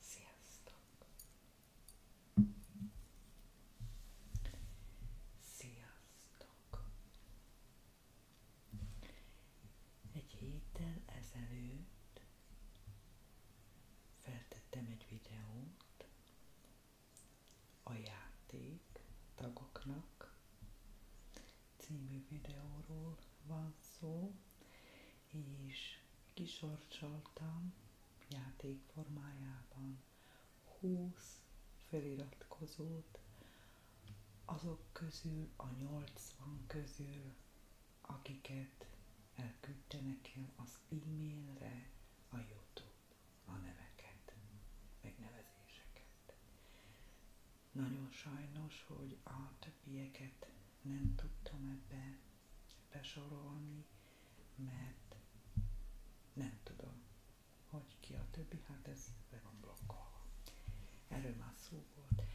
Sziasztok! Sziasztok! Egy héttel ezelőtt feltettem egy videót a játék tagoknak című videóról van szó, és kisorsoltam játék formájában 20 feliratkozót, azok közül a 80 közül, akiket elküldte nekem az e-mailre a Youtube a neveket, megnevezéseket. Nagyon sajnos, hogy a többieket nem tudtam ebbe besorolni, mert nem tudom, hogy ki a többi, hát ez le van blokkolva. Erről már szó volt.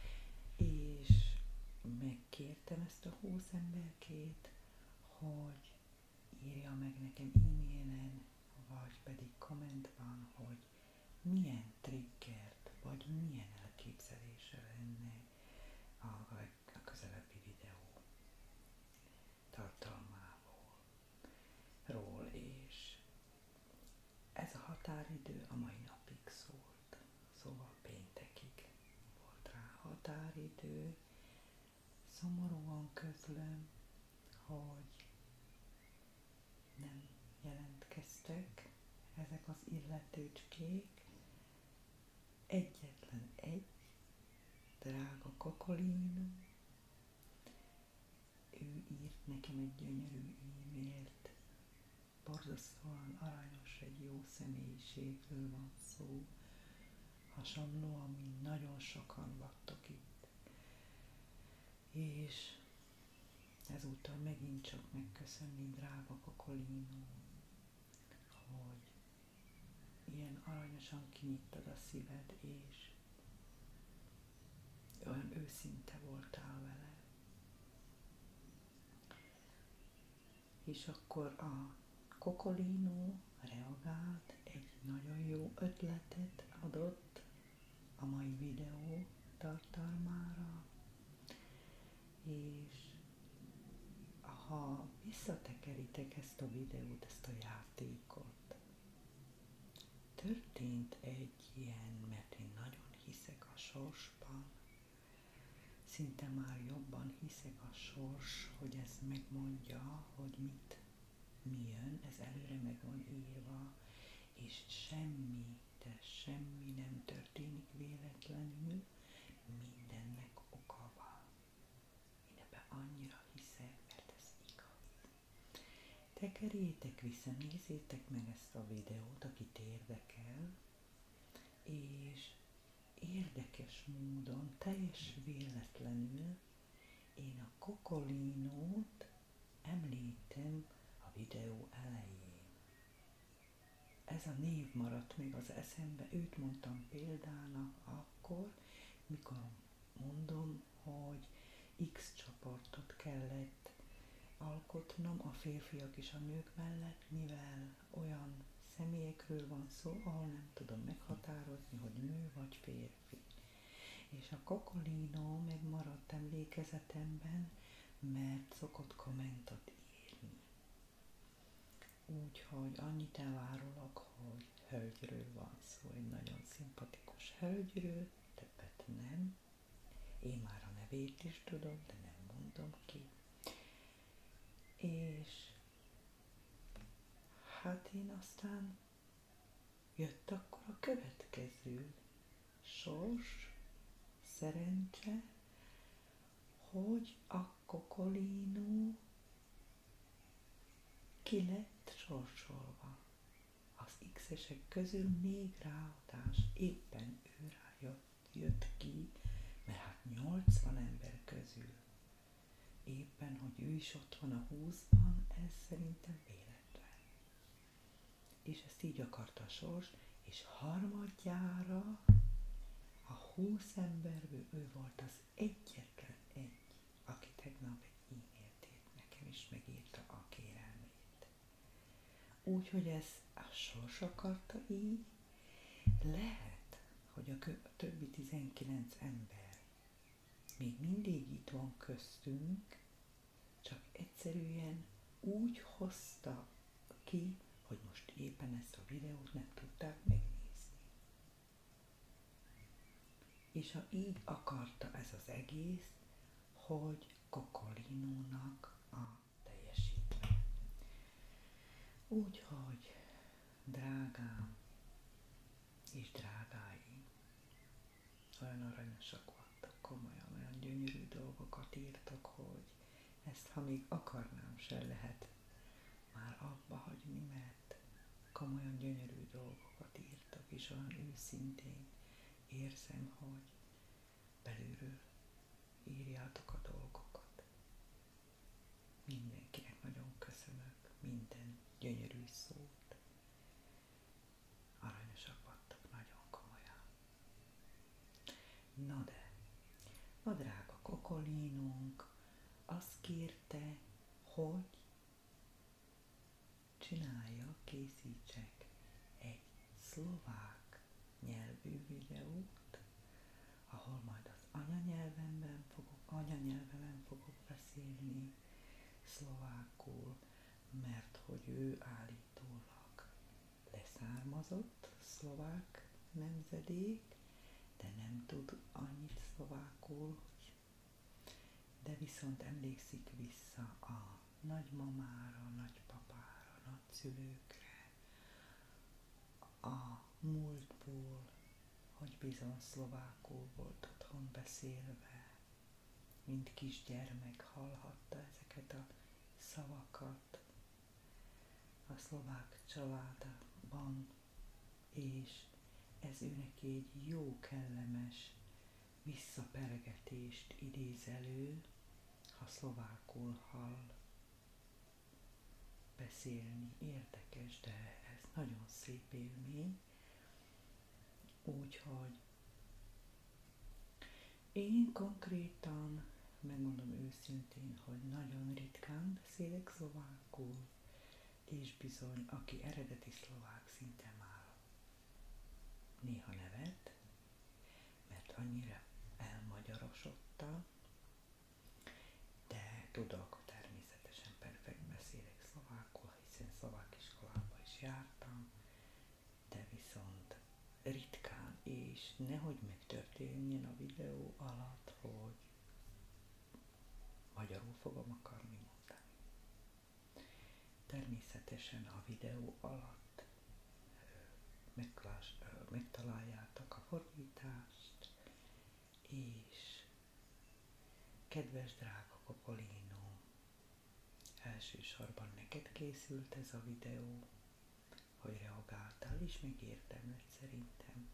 És megkértem ezt a húsz emberkét, hogy írja meg nekem e-mailen, vagy pedig kommentben, hogy milyen triggert, vagy milyen elképzelése lenne a közelebbi videó tartalmából, ról, és ez a határidő a mai napig szólt, szóval péntekig volt rá határidő. Szomorúan közlöm, hogy nem jelentkeztek ezek az illetőcskék, Egyetlen egy, drága Kokolina, ő írt nekem egy gyönyörű e-mailt. Borzasztóan aranyos, egy jó személyiségről van szó. Hasonlóan, mint nagyon sokan vattok itt. És ezúttal megint csak megköszönni, drága Kokolino, hogy ilyen aranyosan kinyittad a szíved, és olyan őszinte voltál vele. És akkor a kokolínó reagált, egy nagyon jó ötletet adott a mai videó tartalmára, és ha visszatekeritek ezt a videót, ezt a játékot, történt egy ilyen, mert én nagyon hiszek a sorsban, szinte már jobban hiszek a sors, hogy ez megmondja, hogy mit mi jön, ez előre meg van írva, és semmi, de semmi nem történik véletlenül, mindennek oka Én ebben annyira hiszek, mert ez igaz. Tekerjétek vissza, nézzétek meg ezt a videót, akit érdekel, és érdekes módon, teljes véletlenül én a kokolinót említem a videó elején ez a név maradt még az eszembe, őt mondtam példának akkor, mikor mondom, hogy X csoportot kellett alkotnom a férfiak és a nők mellett, mivel olyan személyekről van szó, ahol nem tudom meghatározni, hogy nő vagy férfi. És a kokolinó megmaradt emlékezetemben, mert szokott kommentot írni. Úgyhogy annyit elárulok, hogy hölgyről van szó, egy nagyon szimpatikus hölgyről, többet nem. Én már a nevét is tudom, de nem mondom ki. És hát én aztán jött akkor a következő sors, szerencse, hogy a kokolinó ki lett sorsolva. Az x-esek közül négy ráadás éppen ő jött ki, mert hát 80 ember közül. Éppen, hogy ő is ott van a 20-ban, ez szerintem véletlen. És ezt így akarta a sors, és harmadjára a húsz emberből ő volt az egyetlen egy, aki tegnap egy e-mailt írt nekem, és megírta a kérelmét. Úgyhogy ez a sors akarta így, lehet, hogy a, a többi 19 ember még mindig itt van köztünk, csak egyszerűen úgy hozta ki, hogy most éppen ezt a videót nem tudták megnézni. És ha így akarta ez az egész, hogy Kokolinónak a teljesítmény. Úgyhogy, drágám és drágáim, olyan aranyosak voltak, komolyan olyan gyönyörű dolgokat írtak, hogy ezt, ha még akarnám, se lehet már abba hagyni, mert komolyan gyönyörű dolgokat írtak, és olyan őszintén érzem, hogy belülről írjátok a dolgokat. Mindenkinek nagyon köszönök minden gyönyörű szó. Aranyosak nagyon komolyan. Na de, a drága kokolínunk azt kérte, hogy csinálja készítsek egy szlovák nyelvű videót, ahol majd az anyanyelvemben fogok, anyanyelvemen fogok beszélni szlovákul, mert hogy ő állítólag leszármazott szlovák nemzedék, de nem tud annyit szlovákul, de viszont emlékszik vissza a nagymamára, nagypapára, nagyszülőkre, a múltból, hogy bizony szlovákul volt otthon beszélve, mint kisgyermek hallhatta ezeket a szavakat. A szlovák családban és ez ő neki egy jó, kellemes visszaperegetést idéz elő, ha szlovákul hall beszélni. Érdekes, de ez nagyon szép élmény. Úgyhogy én konkrétan, megmondom őszintén, hogy nagyon ritkán beszélek szlovák, Makul, és bizony, aki eredeti szlovák szinten már néha nevet, mert annyira elmagyarosodta, de tudok, természetesen perfekt beszélek szlovákul, hiszen szlovák iskolába is jártam, de viszont ritkán, és nehogy megtörténjen a videó alatt, hogy Magyarul fogom akarni mondani. Természetesen a videó alatt megtaláljátok a fordítást, és kedves drága Kokolino, elsősorban neked készült ez a videó, hogy reagáltál, és megérdemled szerintem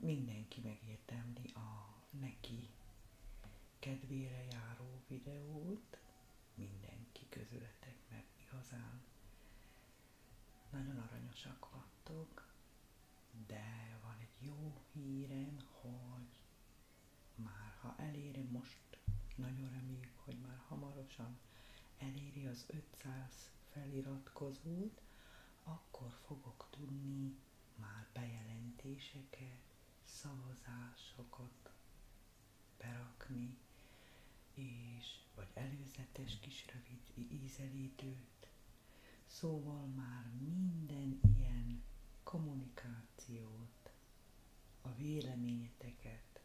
mindenki megértemli a neki kedvére járó videót, mindenki közületek, mert igazán nagyon aranyosak vattok, de van egy jó hírem, hogy már ha eléri most, nagyon reméljük, hogy már hamarosan eléri az 500 feliratkozót, akkor fogok tudni már bejelentéseket, szavazásokat berakni, és vagy előzetes kis rövid ízelítőt. Szóval már minden ilyen kommunikációt, a véleményeteket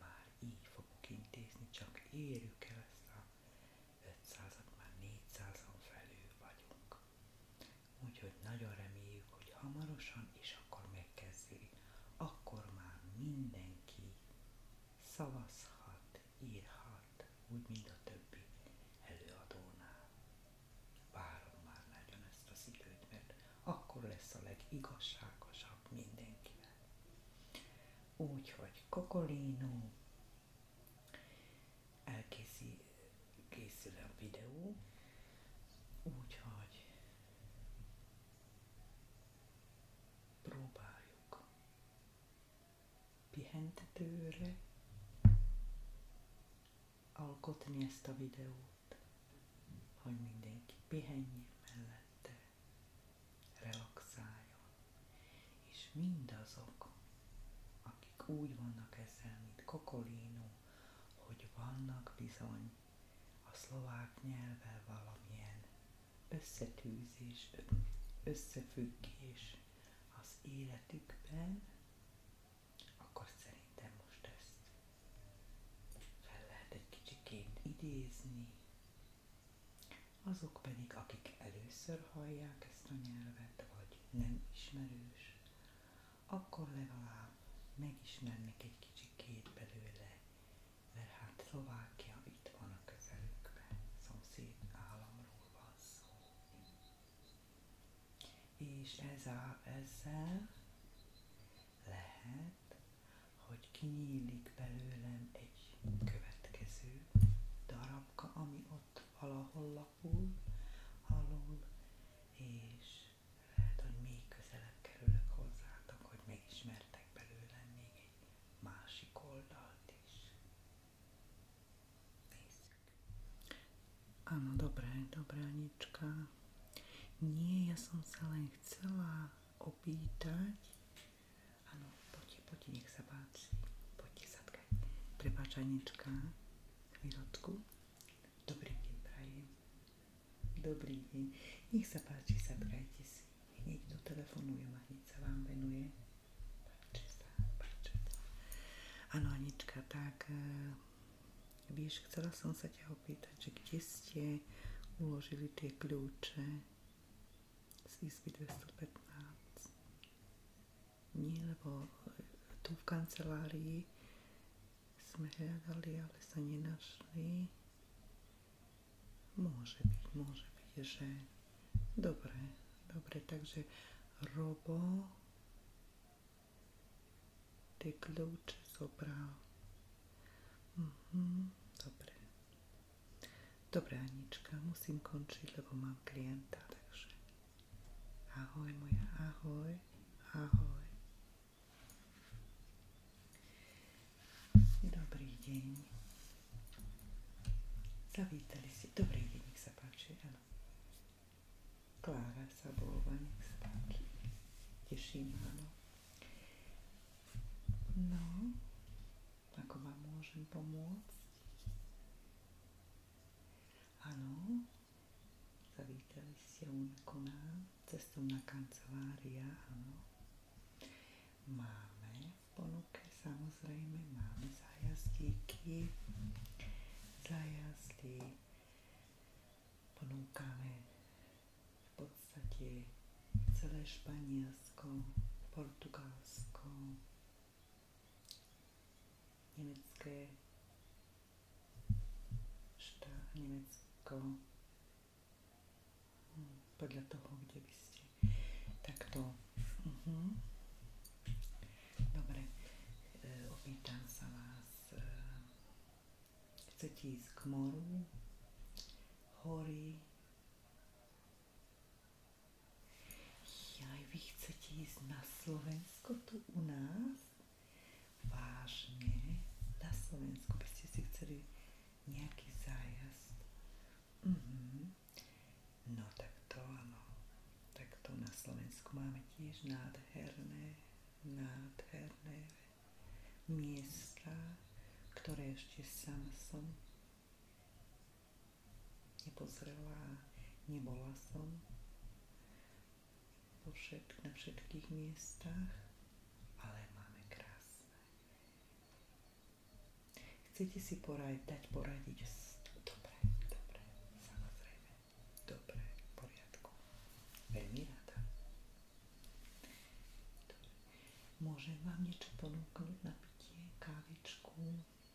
már így fogok intézni, csak érjük el ezt a 500-ak már 400-on Úgyhogy nagyon reméljük, hogy hamarosan, és akkor megkezdődik. Akkor már mindenki szavazhat, írhat, úgy, mint a többi előadónál. Várom már nagyon ezt az időt, mert akkor lesz a legigazságosabb mindenkivel. Úgyhogy kokolínó elkészül készül a videó, úgyhogy próbáljuk pihentetőre alkotni ezt a videót, hogy mindenki pihenjen mellette, relaxáljon. És mindazok, akik úgy vannak ezzel, mint Kokolino, hogy vannak bizony a szlovák nyelvvel valamilyen összetűzés, összefüggés az életükben, akkor szerintem most ezt fel lehet egy kicsikét idézni, azok pedig, akik először hallják ezt a nyelvet, vagy nem ismerős, akkor legalább megismernek egy kicsikét belőle, mert hát Szlovákia itt van a közelükben, szomszéd államról van szó. És ez a, ezzel lehet, hogy kinyílik belőlem egy következő darabka, ami ott valahol lapul, alul, és lehet, hogy még közelebb kerülök hozzátok, hogy megismertek belőle még egy másik oldalt is. Nézzük. Áno, dobré, dobránička. Nie, ja som sa len chcela opýtať, Áno, poď, poď, nech sa páči. Poď, sadkaj. Anička, chvíľočku. Dobrý deň, prajem. Dobrý deň. Nech sa páči, sadkajte si. Hneď tu telefonujem a sa vám venuje. Páči sa, páči sa. Áno, Anička, tak... E, vieš, chcela som sa ťa opýtať, že kde ste uložili tie kľúče z 215. Nie, lebo e, tu v kancelárii sme hľadali, ale sa nenašli. Môže byť, môže byť, že... Dobre, dobre, takže Robo ty kľúče zobral. Mhm, dobre. Dobre, Anička, musím končiť, lebo mám klienta, takže ahoj moja, ahoj, ahoj. Dobrý deň. Zavítali si. Dobrý deň, nech sa páči, áno. Klára Sabová, nech sa páči. Teším, áno. No, ako vám môžem pomôcť? Áno, zavítali ste u koná cestovná kancelária, áno. Máme v ponuke, samozrejme, máme zájazdíky, zájazdy, ponúkame v podstate celé Španielsko, Portugalsko, nemecké štá, Nemecko hm, podľa toho, kde by ste takto uh-huh. Mhm. dobre e, opýtam sa vás e, chcete ísť k moru hory Jaj, vy chcete ísť na Slovensko tu u nás? Vážne? Na Slovensku by ste si chceli nejaký zájazd? Mhm. No tak to áno. Tak to na Slovensku máme tiež nádherné, nádherné miesta, ktoré ešte sama som nepozrela a nebola som po na všetkých miestach, ale máme krásne. Chcete si poradiť, dať poradiť s Dobre, dobre, samozrejme. Dobre, v poriadku. Veľmi rada. Dobre. Môžem vám niečo ponúknuť na pitie, kávičku,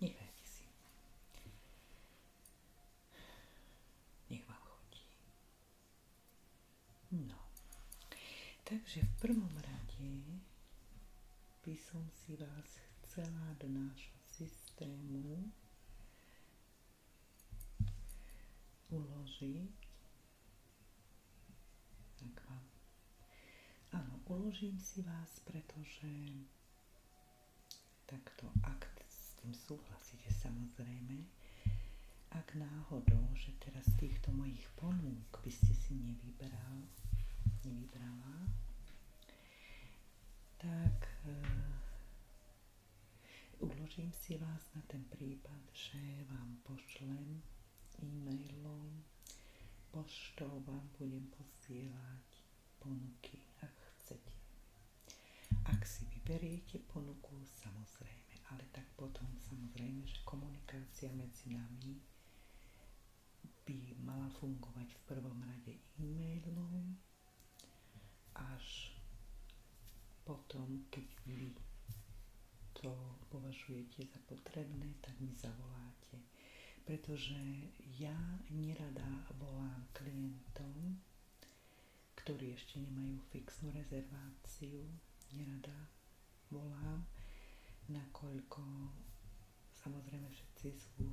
Nehrajte si. Nech vám chodí. No. Takže v prvom rade by som si vás chcela do nášho systému uložiť, ak vám Áno, uložím si vás, pretože takto, ak s tým súhlasíte samozrejme, ak náhodou, že teraz z týchto mojich ponúk by ste si nevybral, nevybrala, tak e, uložím si vás na ten prípad, že vám pošlem e-mailom Poštou vám budem posielať ponuky, ak chcete. Ak si vyberiete ponuku, samozrejme, ale tak potom samozrejme, že komunikácia medzi nami by mala fungovať v prvom rade e-mailom, až potom, keď vy to považujete za potrebné, tak mi zavoláte vlastne. Pretože ja nerada volám klientom, ktorí ešte nemajú fixnú rezerváciu, nerada volám, nakoľko samozrejme všetci sú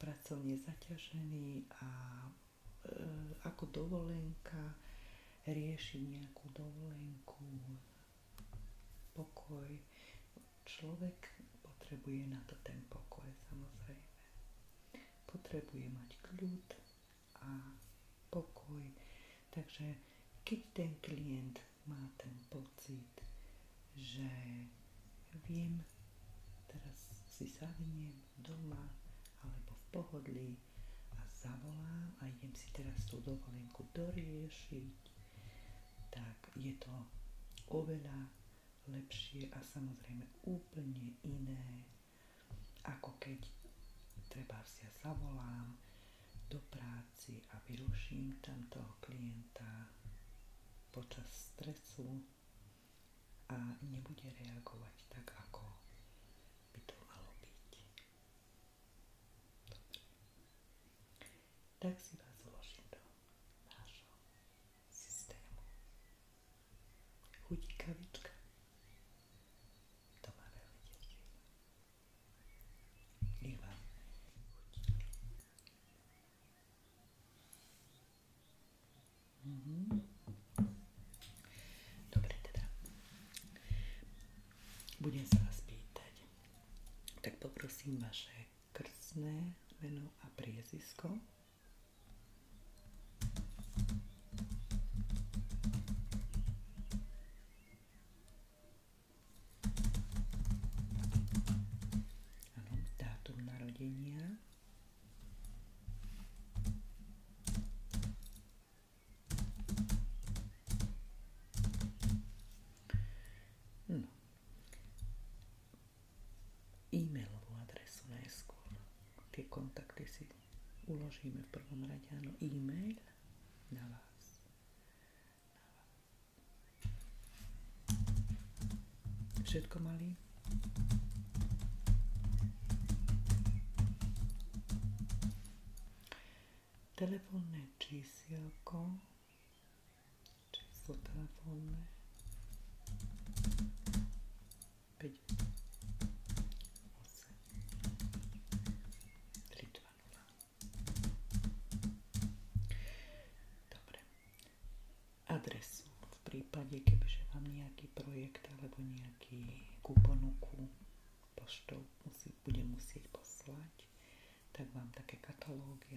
pracovne zaťažení a e, ako dovolenka riešiť nejakú dovolenku, pokoj. Človek potrebuje na to ten pokoj, samozrejme. Potrebuje mať kľud a pokoj. Takže keď ten klient má ten pocit, že viem, teraz si sadnem doma alebo v pohodlí a zavolám a idem si teraz tú dovolenku doriešiť, tak je to oveľa lepšie a samozrejme úplne iné, ako keď treba si ja zavolám do práci a vyruším tam toho klienta počas stresu a nebude reagovať tak, ako by to malo byť tak si vás zložím do nášho systému. Chutí kavička. To ma veľmi teší. vám chutí. mm teda. Budem sa vás pýtať. Tak poprosím vaše krstné meno a priezisko. Áno, dátum narodenia. No, e-mailovú adresu najskôr. Tie kontakty si uložíme v prvom rade, áno, e-mail na vás. Všetko malý? Telefónne číselko číslo telefónne 5 8 v prípade, kebyže vám nejaký projekt alebo nejaký kuponuku poštou musieť poslať, tak vám také katalógy,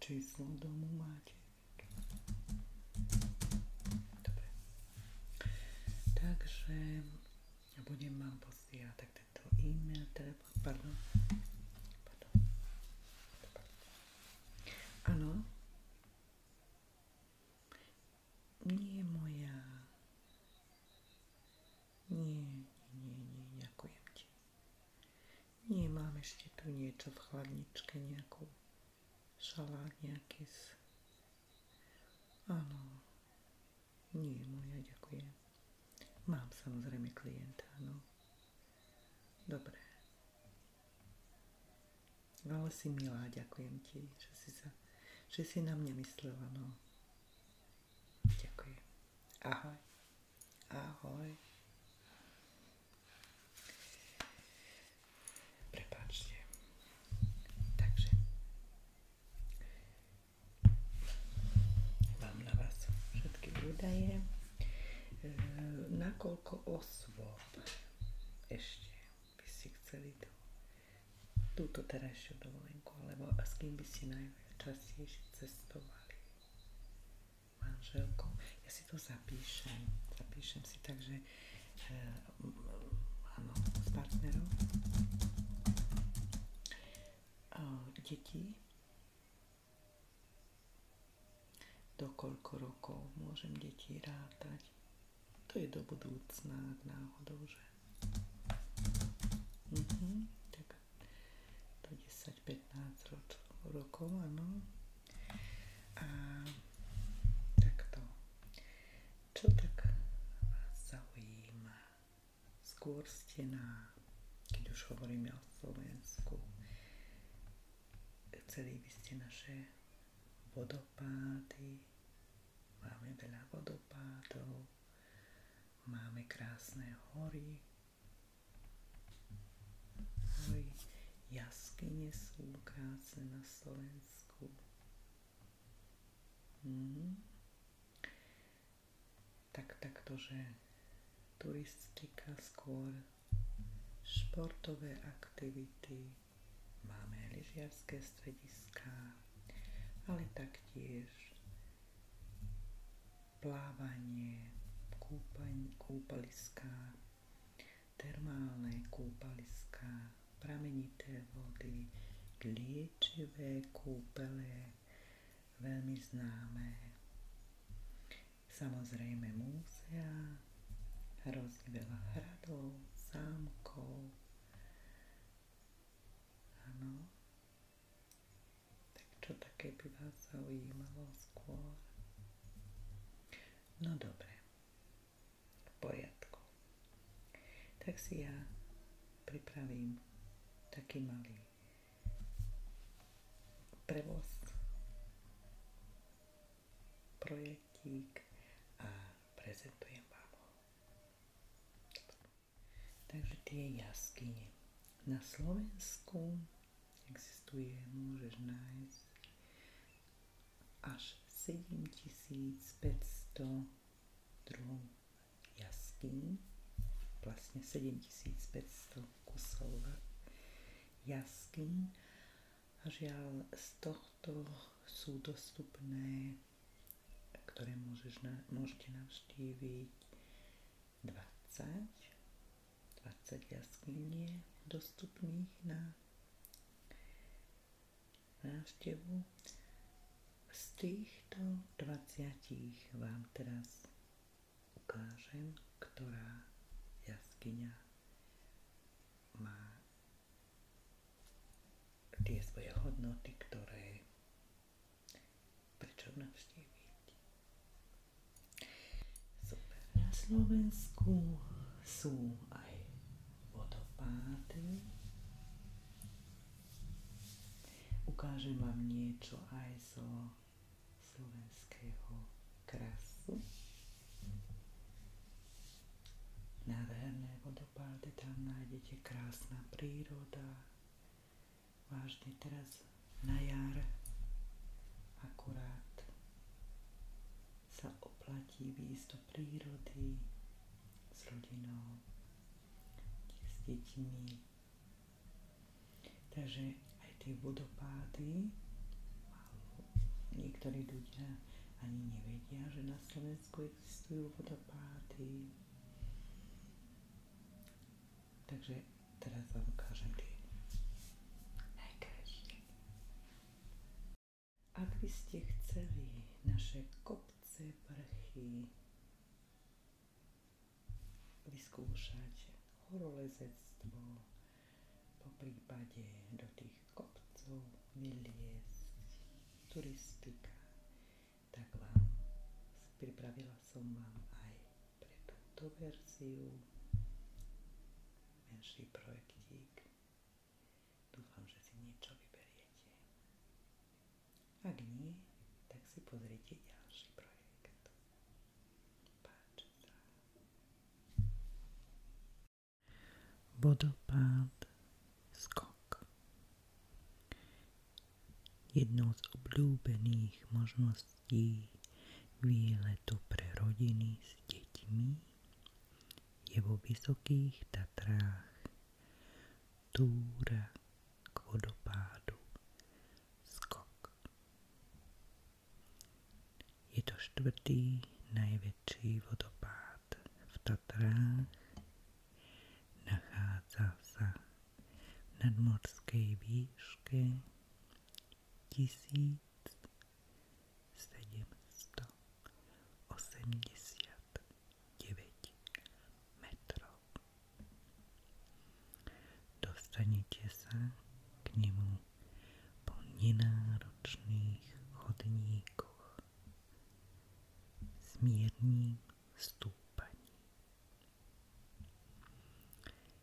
Czy są w domu Maciek? Dobra. Także ja budem mam ja tak to e-mail, telefon, pardon. Pardon. Halo? Nie moja. Nie, nie, nie, nie, dziękuję Ci. Nie, mám ešte tu niečo v chladničke, nejakú šalát, nejaký z... Áno, nie, moja, ďakujem. Mám samozrejme klienta, no. Dobre. Ale si milá, ďakujem ti, že si, sa, že si na mňa myslela, no. Ďakujem. Ahoj. Ahoj. Prepáčte. Takže mám na vás všetky údaje. E, nakoľko osôb ešte by si chceli to, túto terajšiu dovolenku, alebo s kým by si najviac cestovali? manželkou. Ja si to zapíšem. Zapíšem si tak, že eh, áno, s partnerom. E, deti. Do koľko rokov môžem deti rátať. To je do budúcna, náhodou, že... Mhm, tak do 10-15 rokov, áno. A takto. Čo tak vás zaujíma? Skôr ste na, keď už hovoríme o Slovensku, chceli by ste naše vodopády, máme veľa vodopádov, máme krásne hory, Oj, jaskyne krásne na Slovensku. Mhm. takto, že turistika skôr, športové aktivity, máme lyžiarské strediská, ale taktiež plávanie, kúpaň, kúpaliska, termálne kúpaliska, pramenité vody, liečivé kúpele, veľmi známe. Samozrejme múzea, hrozne veľa hradov, zámkov. Áno. Tak čo také by vás zaujímalo skôr? No dobre, v poriadku. Tak si ja pripravím taký malý prevoz, projektík a prezentujem vám ho. Takže tie jaskyne. Na Slovensku existuje, môžeš nájsť až 7500 druhov jaskýň, vlastne 7500 kusov jaskýň. A žiaľ, z tohto sú dostupné, ktoré môžeš, môžete navštíviť 20 20 je dostupných na návštevu. Z týchto 20 vám teraz ukážem, ktorá jaskyňa má tie svoje hodnoty, ktoré prečo navštíviť. Na Slovensku sú aj vodopády. Ukážem vám niečo aj zo slovenského krasu. Nádherné vodopády, tam nájdete krásna príroda, vážne teraz na jar akurát sa oplatí výjsť do prírody s rodinou, s deťmi. Takže aj tie vodopády niektorí ľudia ani nevedia, že na Slovensku existujú vodopády. Takže teraz vám ukážem tie najkrajšie. Ak by ste chceli naše kopce, vrchy vyskúšať horolezectvo, po prípade do tých kopcov vyliesť, turistika, tak vám pripravila som vám aj pre verziu menší projektík. Dúfam, že si niečo vyberiete. Ak tak si pozrite ďalší projekt. Páči Vodopád skok. Jednou z obľúbených možností možností výletu pre rodiny s deťmi je vo Vysokých Tatrách túra k vodopádu Skok. Je to štvrtý najväčší vodopád v Tatrách. Nachádza sa v nadmorskej výške tisíc sedemsto osemdesiat deväť metrov. Dostanete sa k nemu po nenáročných chodníkoch s mierním stúpaním.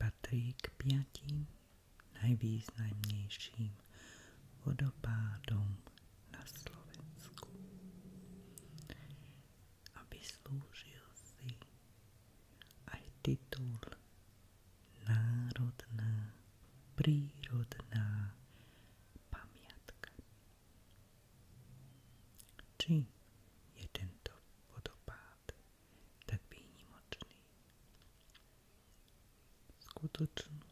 Patrí k piatim najvýznamnejším vodopádom na Slovensku a vyslúžil si aj titul Národná prírodná pamiatka. Či je tento vodopád tak výnimočný? Skutočnú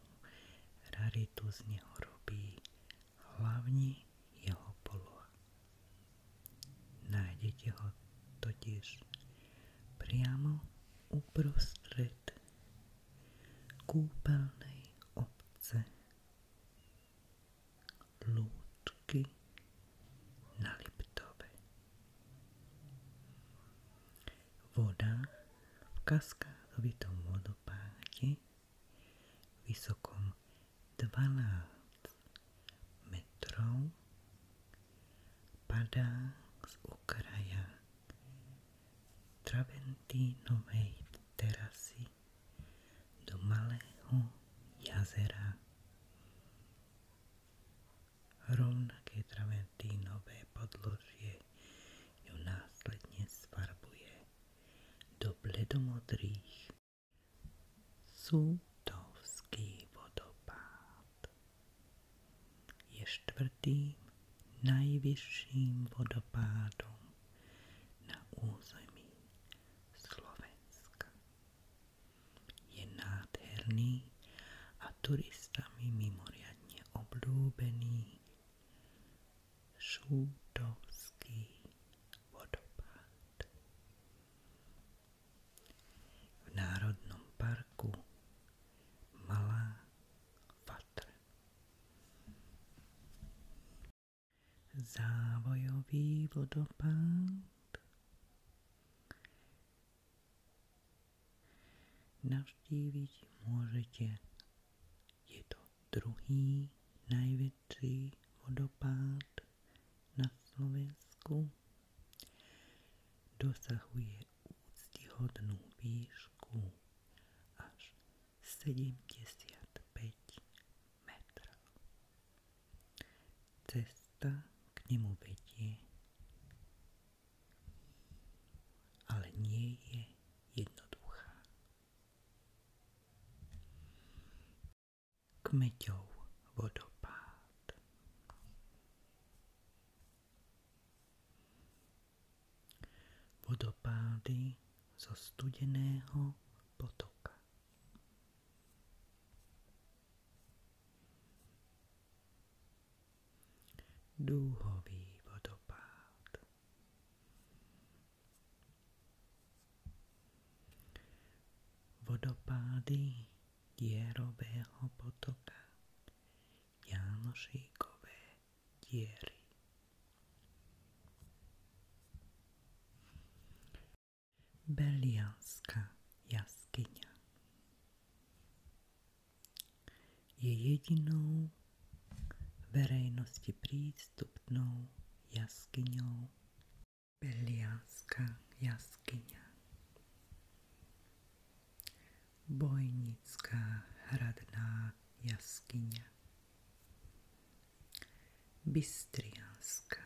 raritu z neho robí hlavne jeho poloha. Nájdete ho totiž priamo uprostred kúpeľnej obce lúčky na Liptove. Voda v kaskádovitom vodopáde vysokom 12 metrov padá z okraja traventínovej terasy do malého jazera. Rovnaké traventínové podložie ju následne sfarbuje do bledomodrých. Sútovský vodopád je štvrtým najvyšším vodopádom na území Slovenska. Je nádherný a turistami mimoriadne obľúbený Šútovský vodopád. V Národnom parku Malá Fatra závojový vodopád. Navštíviť môžete. Je to druhý najväčší vodopád na Slovensku. Dosahuje úctihodnú výšku až 75 metra. Cesta k nemu vedie, ale nie je jednoduchá. Kmeťov vodopád. Vodopády zo studeného potoka. Duhový vodopád. Vodopády dierového potoka janošíkové diery. Belialská jaskyňa je jedinou verejnosti prístupnou jaskyňou Belialská jaskyňa. Bojnická hradná jaskyňa Bystrianská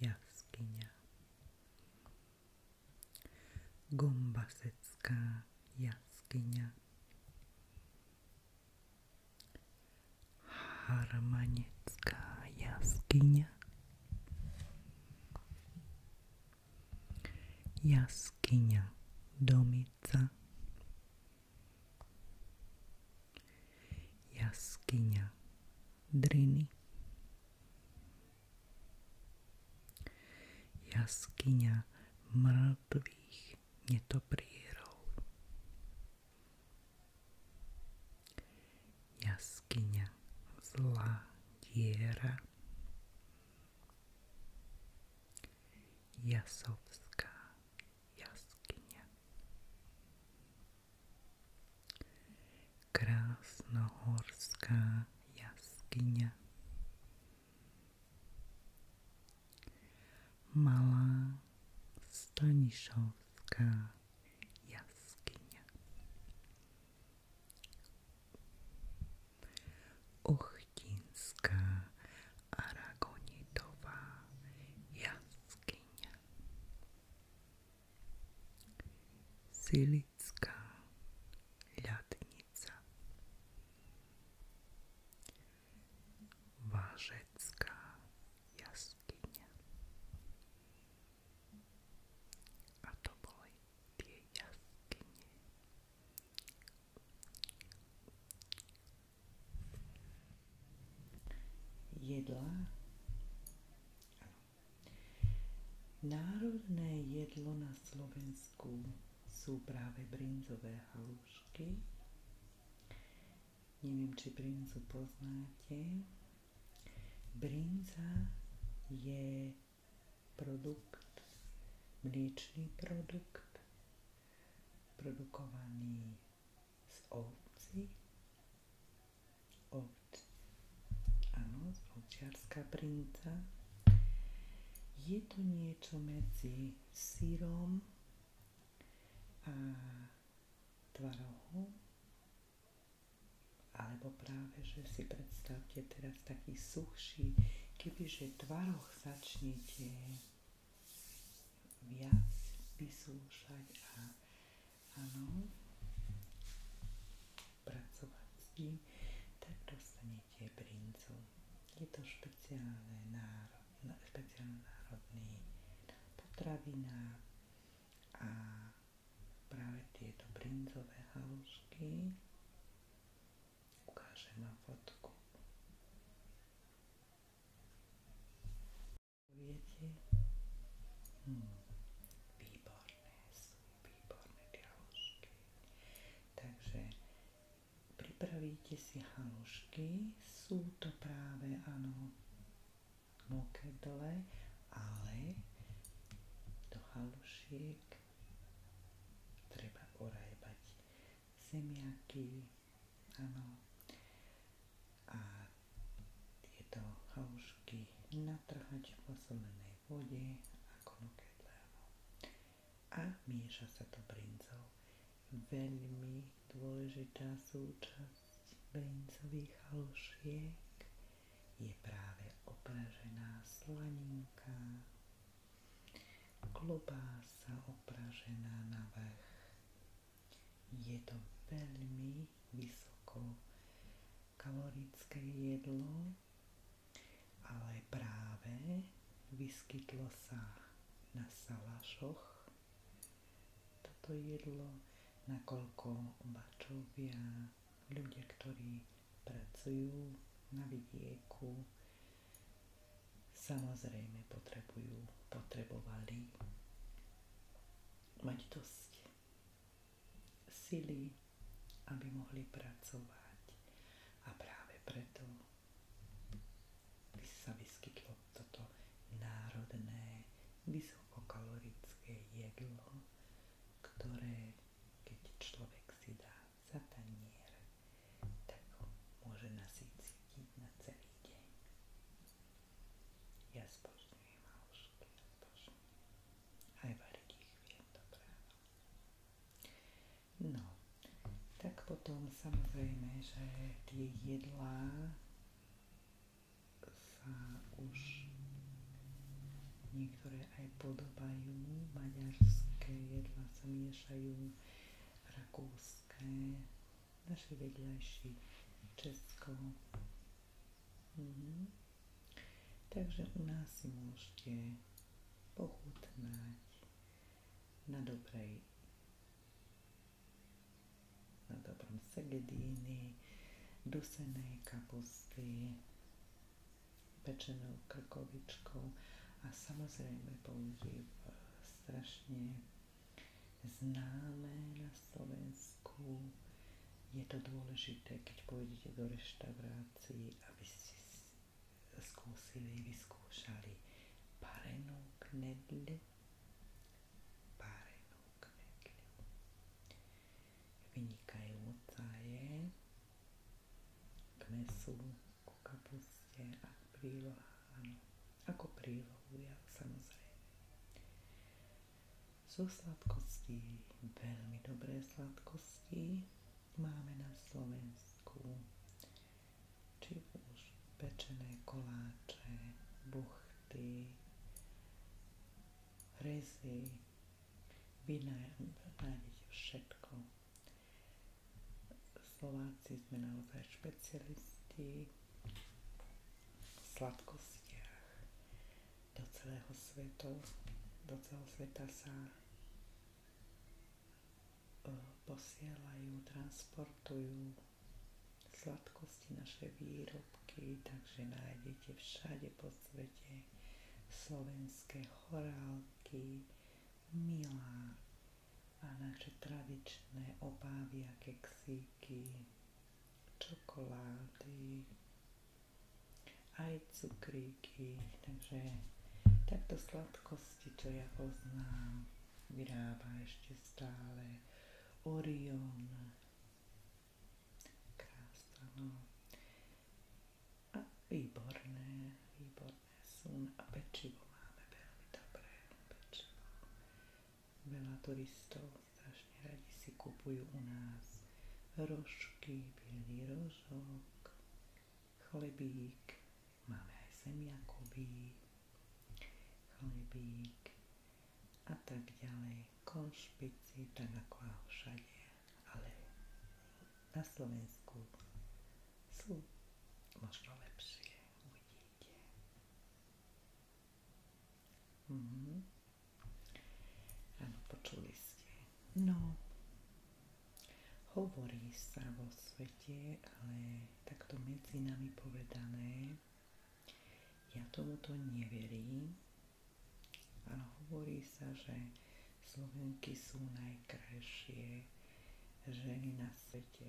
jaskyňa. Gombasecká jaskyňa. Harmanecká jaskyňa. Jaskyňa Domica. Jaskyňa Driny. Jaskyňa mŕtvych netoprierov. Jaskyňa zlá diera. Jasovská jaskyňa. Krásnohorská jaskyňa. Malá Stanišovská jaskyňa. Ochtinská Aragonitová jaskyňa. Sili Anglická ľadnica Vážecká jaskyňa a to boli tie jaskyne jedlá ano, Národné jedlo na Slovensku sú práve brinzové halušky. Neviem, či brinzu poznáte. Brinza je produkt, mliečný produkt, produkovaný z ovci ovc. Áno, ovčiarská brinca. Je to niečo medzi sírom a tvarohom. Alebo práve, že si predstavte teraz taký suchší, kebyže tvaroch začnete viac vysúšať a áno, pracovať s ním, tak dostanete brincu. Je to špeciálne národ, no, špeciálne národný potravina a práve tieto brinzové halušky ukážem vám fotku. Viete? Hmm. Výborné Takže pripravíte si halušky, sú to práve áno mokedle, ale do halušiek treba orajbať zemiaky, áno, a tieto halušky natrhať v osobnej teplej vode ako nukedlávo. A mieša sa to brincov. Veľmi dôležitá súčasť brincových halušiek je práve opražená slaninka. Klobása opražená na vrch. Je to veľmi vysoko kalorické jedlo, ale práve vyskytlo sa na salašoch toto jedlo, nakoľko bačovia, ľudia, ktorí pracujú na vidieku, samozrejme potrebujú, potrebovali mať dosť sily, aby mohli pracovať. A práve preto by sa vyskytlo toto národné, vysokokalorické jedlo, ktoré keď človek si dá za tanier, tak ho môže nasiť cítiť na celý deň. Ja zbožňujem halušky, ja Aj variť ich viem dobre. No, tak potom samozrejme, že tie jedlá sa už niektoré aj podobajú. Maďarské jedlá sa miešajú, rakúske, naši vedľajší, Česko, Mhm. Takže u nás si môžete pochutnať na dobrej na dobrom segedíny, dusenej kapusty, pečenou krkovičkou a samozrejme použív e, strašne známe na Slovensku. Je to dôležité, keď pôjdete do reštaurácie Vianoci, aby ste skúsili, vyskúšali parenú knedli, Parenú knedli Vynikajúca je k mesu, ku kapuste a prílohám. Ako prílohu, ale samozrejme. Sú sladkosti, veľmi dobré sladkosti, máme na Slovensku, či už pečené koláče, buchty, hrezy, vina nájdete všetko. Slováci sme naozaj špecialisti v sladkostiach, do celého sveta, do celého sveta sa e, posielajú, transportujú sladkosti, naše výrobky, takže nájdete všade po svete slovenské chorálky, milá a naše tradičné obávia, keksíky, čokolády, aj cukríky, takže takto sladkosti, čo ja poznám, vyrába ešte stále Orion. Krásna, no. A výborné, výborné sú. A pečivo máme veľmi dobré pečivo. Veľa turistov strašne radi si kupujú u nás rožky, bielý rož tvarožok, chlebík, máme aj semiakový, chlebík a tak ďalej. Konšpici, tak ako všade, ale na Slovensku sú možno lepšie, uvidíte. Mhm. Áno, počuli ste. No, Hovorí sa vo svete, ale takto medzi nami povedané, ja tomuto neverím, ale hovorí sa, že Slovenky sú najkrajšie ženy na svete.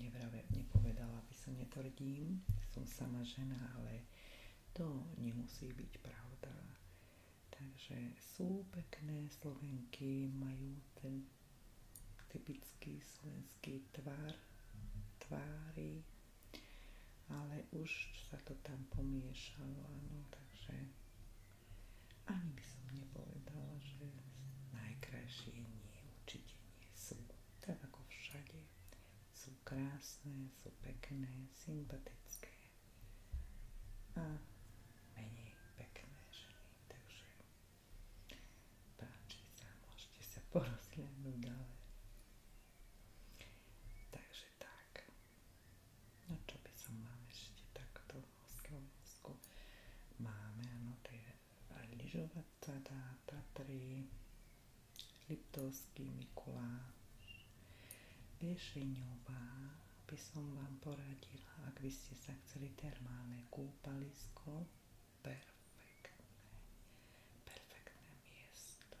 Nevrave, nepovedala by som, netvrdím, som sama žena, ale to nemusí byť pravda. Takže sú pekné slovenky, majú ten typický slovenský tvar, tvári, ale už sa to tam pomiešalo, áno, takže ani by som nepovedala, že najkrajšie nie, určite nie sú. Tak ako všade, sú krásne, sú pekné, sympatické menej pekné ženy, takže páči sa, môžete sa porozhľadnúť ďalej. Takže tak, no čo by som vám ešte takto mozku máme, áno, tie lyžovaca dá Tatry, Liptovský Mikuláš, Riešeňová by som vám poradila, ak by ste sa chceli termálne kúpalisko, perfektné, perfektné miesto.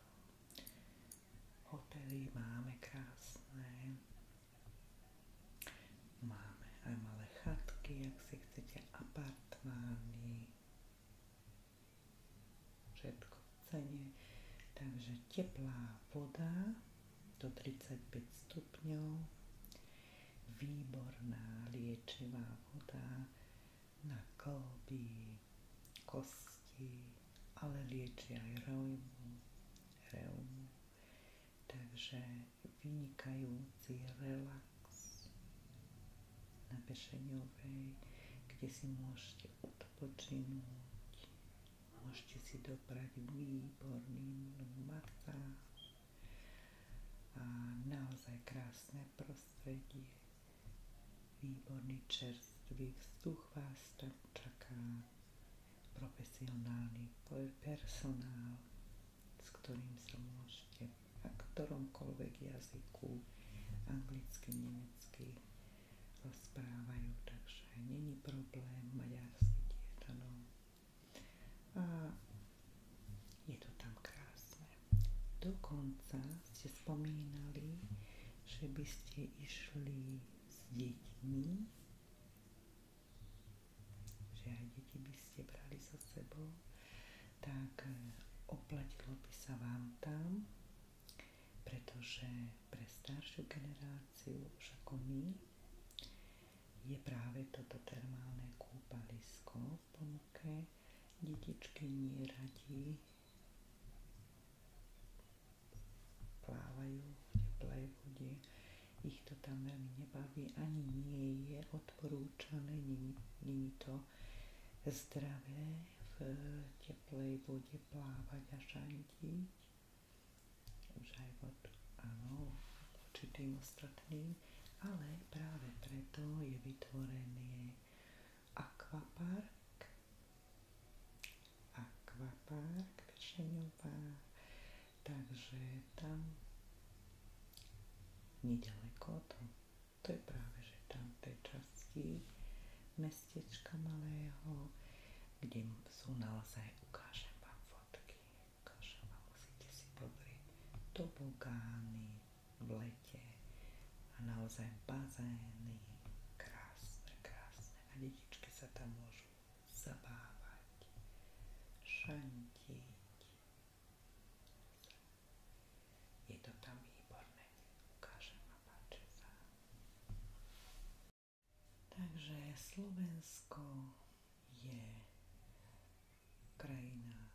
Hotely máme krásne, máme aj malé chatky, ak si chcete apartmány, všetko cene. Takže teplá voda do 35 stupňov, výborná liečivá voda na kolby, kosti, ale lieči aj reumu. reumu. Takže vynikajúci relax na Pešeňovej, kde si môžete odpočinúť, Môžete si doprať výborný masáž a naozaj krásne prostredie. Výborný čerstvý vzduch vás tam čaká, profesionálny personál, s ktorým sa môžete a ktoromkoľvek jazyku, anglicky, nemecky, rozprávajú, takže není problém maďarsky dietanom. A je to tam krásne. Dokonca ste spomínali, že by ste išli s deťmi, že aj deti by ste brali so sebou, tak e, oplatilo by sa vám tam, pretože pre staršiu generáciu inšpiráciu už je práve toto termálne kúpalisko v ponuke. Detičky neradi plávajú v teplej vode, ich to tam veľmi nebaví, ani nie je odporúčané, není to zdravé v teplej vode plávať a šantiť život, áno, určitým ostatným, ale práve preto je vytvorený akvapark, akvapark Pešeňová, takže tam nedaleko to, to je práve, že tam v tej časti mestečka malého kde sú naozaj, ukážem vám fotky, ukážem vám, musíte si pozrieť tobogány v lete a naozaj bazény, krásne, krásne a detičky sa tam môžu zabávať, šantiť. Je to tam výborné, ukážem vám, Takže Slovensko je krajina,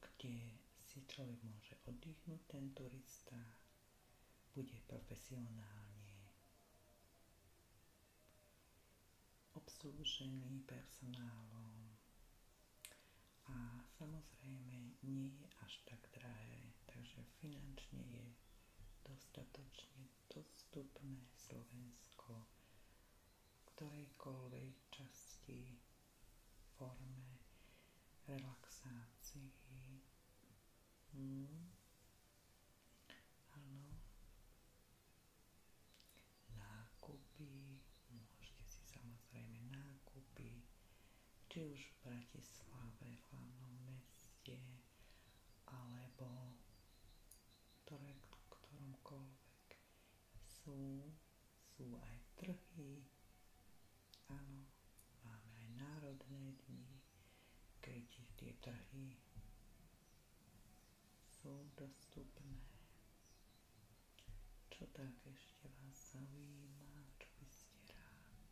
kde si človek môže oddychnúť, ten turista bude profesionálne obslužený personálom a samozrejme nie až tak drahé, takže finančne je dostatočne dostupné Slovensko v ktorejkoľvek časti, forme, relaxácii. Hmm. Ano. Nákupy, môžete si samozrejme nákupy, či už v Bratislave, v meste, alebo ktoré, ktoromkoľvek sú, sú aj trhy, áno, máme aj národné dni, keď tie trhy sú dostupné. Čo tak ešte vás zaujíma, čo by ste rád?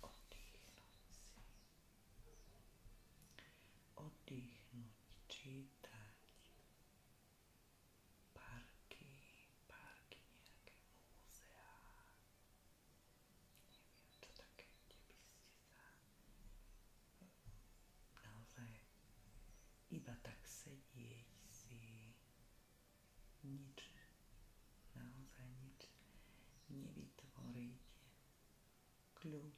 Oddychnúť si. Oddychnúť, čítať. Parky, parky, nejaké múzeá. Neviem, čo také, kde by ste sa naozaj iba tak sedieť si nič, naozaj nič nevidieť vytvoriť kľud.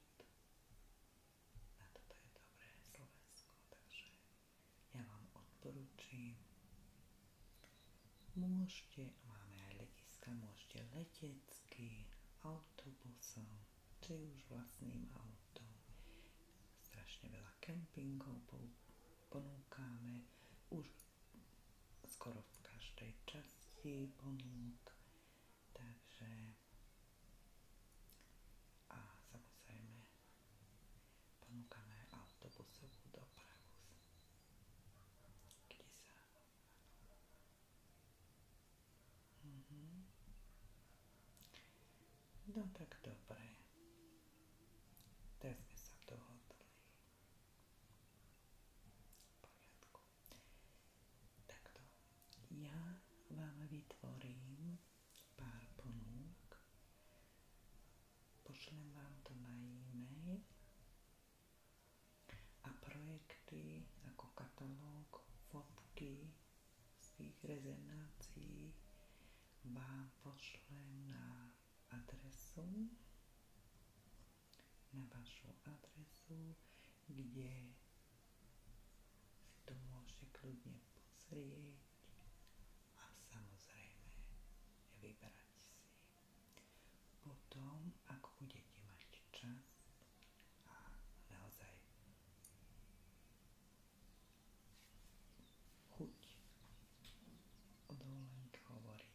A toto je dobré Slovensko, takže ja vám odporúčam. Môžete, máme aj letiska, môžete letecky, autobusom, či už vlastným autom. Strašne veľa kempingov ponúkame, už skoro w każdej časti pomógł. Także a samozrejme ponúkame autobusovú dopravu, kde sa mhm. no tak dobre teraz sme sa Poriadku. Takto. Ja vám vytvorím pár ponúk. Pošlem vám to na e-mail a projekty ako katalóg, fotky z tých rezenácií vám pošlem na adresu na vašu adresu, kde si to môžete kľudne pozrieť a samozrejme vybrať si. Potom, ak budete mať čas a naozaj chuť o dovolenke hovoriť,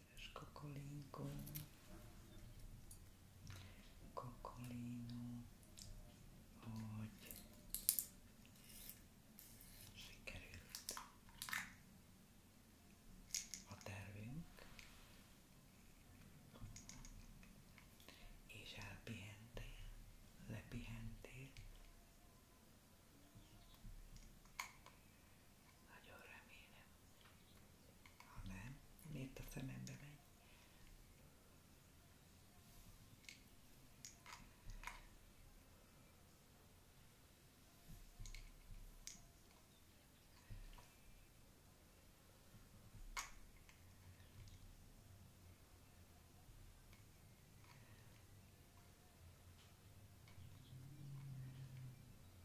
kedves kokolinkó, kokolinó, hogy sikerült a tervünk, és elpihentél, lepihentél, nagyon remélem. Ha nem, miért a szemembe megy?